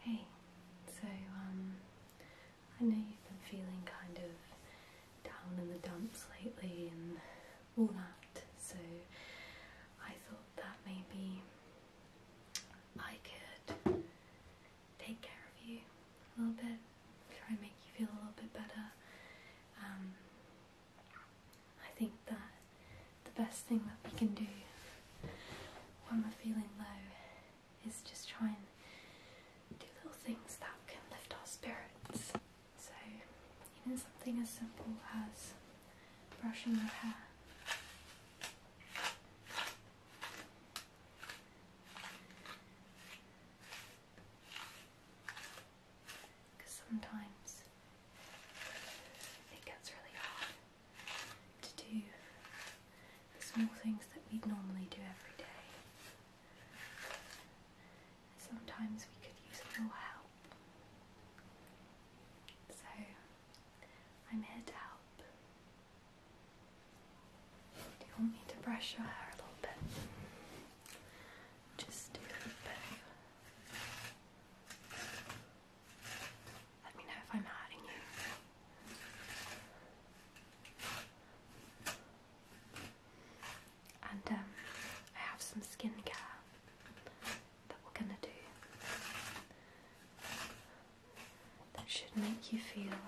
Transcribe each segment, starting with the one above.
Hey, so um, I know you've been feeling kind of down in the dumps lately and all that, so I thought that maybe I could take care of you a little bit, try and make you feel a little bit better. Um, I think that the best thing that we can do when we're feeling low is just try and do little things that can lift our spirits. So, even something as simple as brushing your hair. Because sometimes I think really hard to do the small things that we normally do every day. Sometimes we could use a little help. So I'm here to help. Do you want me to brush your hair a little bit? Just a little bit. Let me know if I'm hurting you. And um, I have some skincare that we're gonna do that should make you feel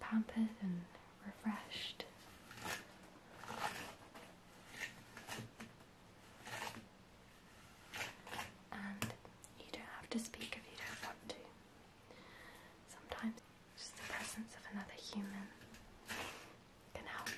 pampered and refreshed. And you don't have to speak if you don't want to. Sometimes just the presence of another human can help.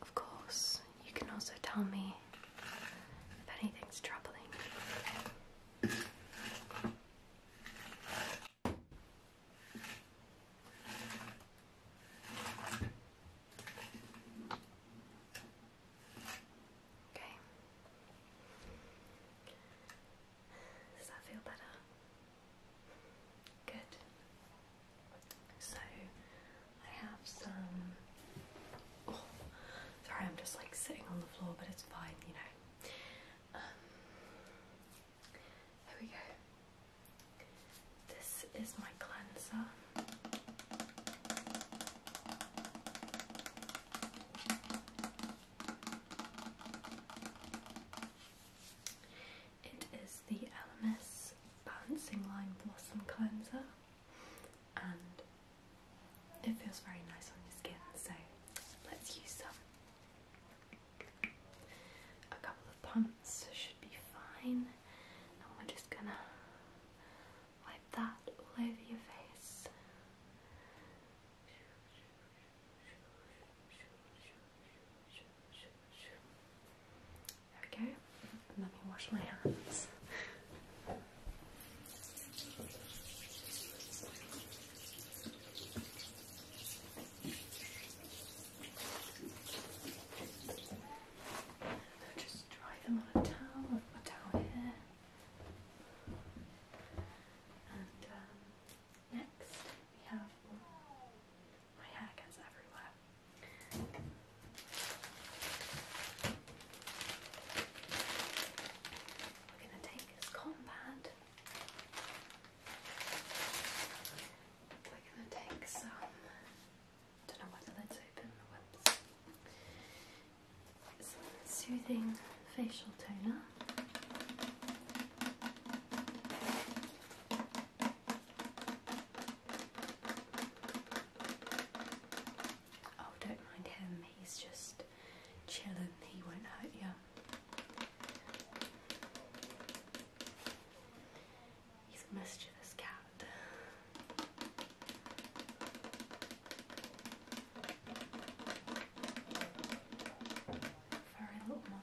Of course, you can also tell me if anything's troubling you. Okay. Does that feel better? Good. So I have some. Oh, sorry, I'm just like sitting on the floor, but it's fine, you know. Um, here we go. This is my cleanser. It is the Elemis balancing Lime blossom cleanser and it feels very nice on your skin so let's use some a couple of pumps should be fine we're just gonna wipe that all over your face Okay. Let me wash my hands. just dry them on a towel. a towel here. And um, next we have my hat We're going to take this comb pad. We're going to take some. Don't know whether that's open. Whoops. Some soothing facial toner. Oh, don't mind him, he's just chilling, he won't hurt you. He's a mischievous cat. For little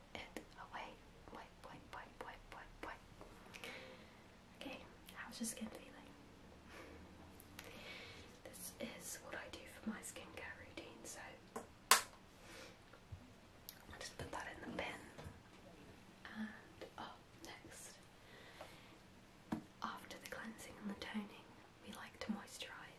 it away. Wipe, wipe, wipe, wipe, wipe, wipe. This is what I do for my skincare routine, so I'll just put that in the bin. And oh, next. After the cleansing and the toning, we like to moisturise.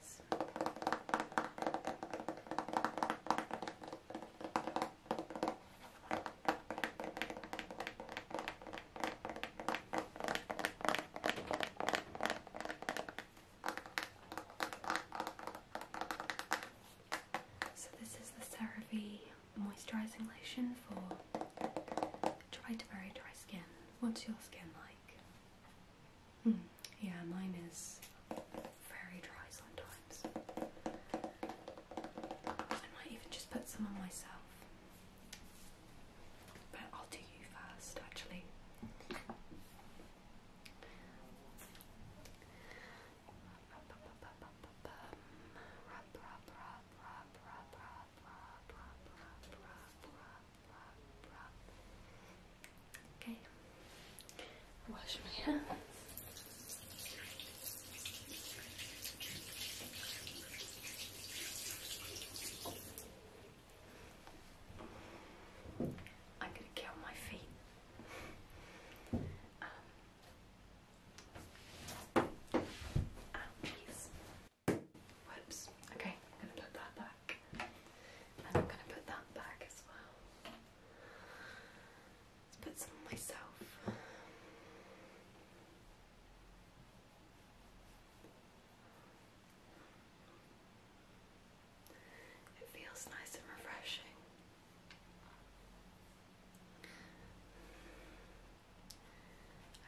So this is the CeraVe moisturising lotion for dry to very dry skin. What's your skin like? Yeah, mine is very dry sometimes. I might even just put some on myself. But I'll do you first, actually. Okay. Wash my hands. I'm gonna kill my feet. Um, Okay, I'm gonna put that back. I'm going to put that back as well. Let's put some myself. It feels nice and refreshing.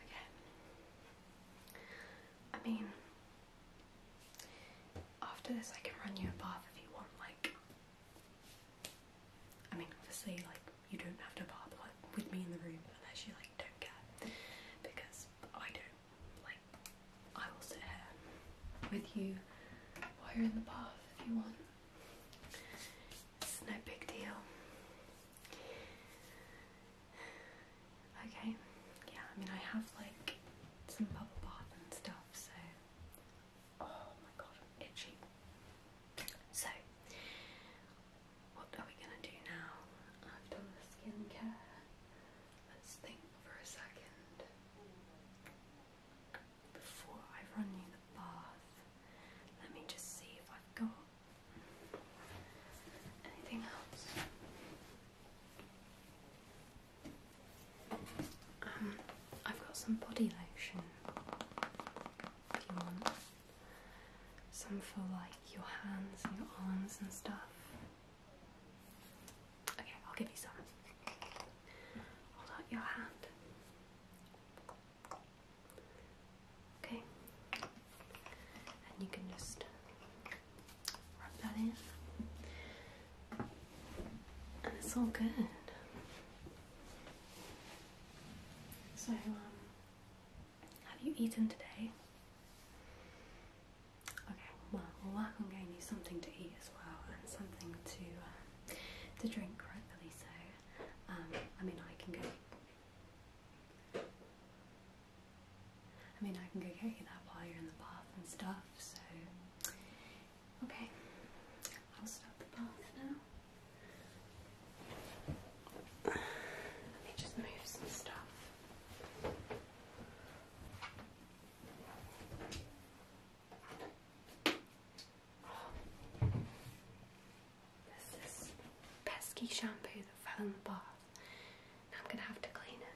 Okay. I mean, after this, I can run you a bath if you want. Like, I mean, obviously, like you don't have to bath like, with me in the room unless you like don't care, because I don't. Like, I will sit here with you while you're in the bath if you want. It's no big deal. Okay, yeah, I mean, I have like some bubble bath and stuff, so. Oh my god, I'm itchy. So, what are we gonna do now? I've done the skincare. Let's think for a second. Before I run you the bath, let me just see if I've got Anything else? Um, I've got some body lotion if you want. Some for like your hands and your arms and stuff. Okay, I'll give you some. Hold out your hand. Okay, and you can just rub that in, and it's all good. So, um, have you eaten today? Okay, well, we'll work on getting you something to eat as well and something to uh, to drink, rightfully um, so. I mean, I can go. I mean, I can go get that while you're in the bath and stuff, so. Okay, I'll stop the bath now. Let me just move some stuff this pesky shampoo that fell in the bath. I'm going to have to clean it.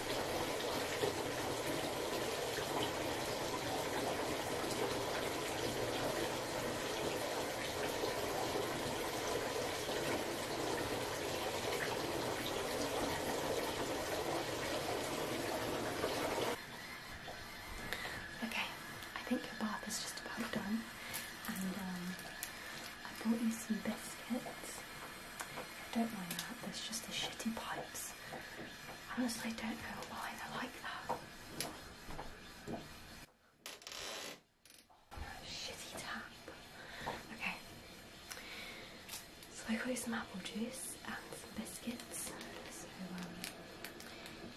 Okay, I think your bath is just about done, and um, I bought you some biscuits. Don't mind that, there's just the shitty pipes I honestly don't know why they're like that. Shitty tap. Okay. So I got you some apple juice and some biscuits. So um,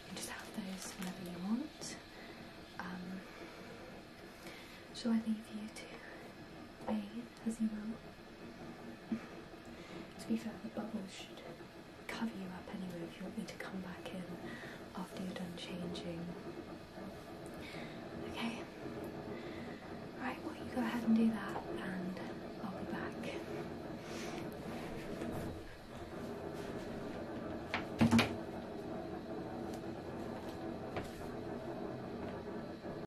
you just have those whenever you want. Um, shall I leave you to bathe? it doesn't to be fair, the bubbles should cover you up anyway if you want me to come back in after you're done changing. Okay. Right, well, you go ahead and do that, and I'll be back.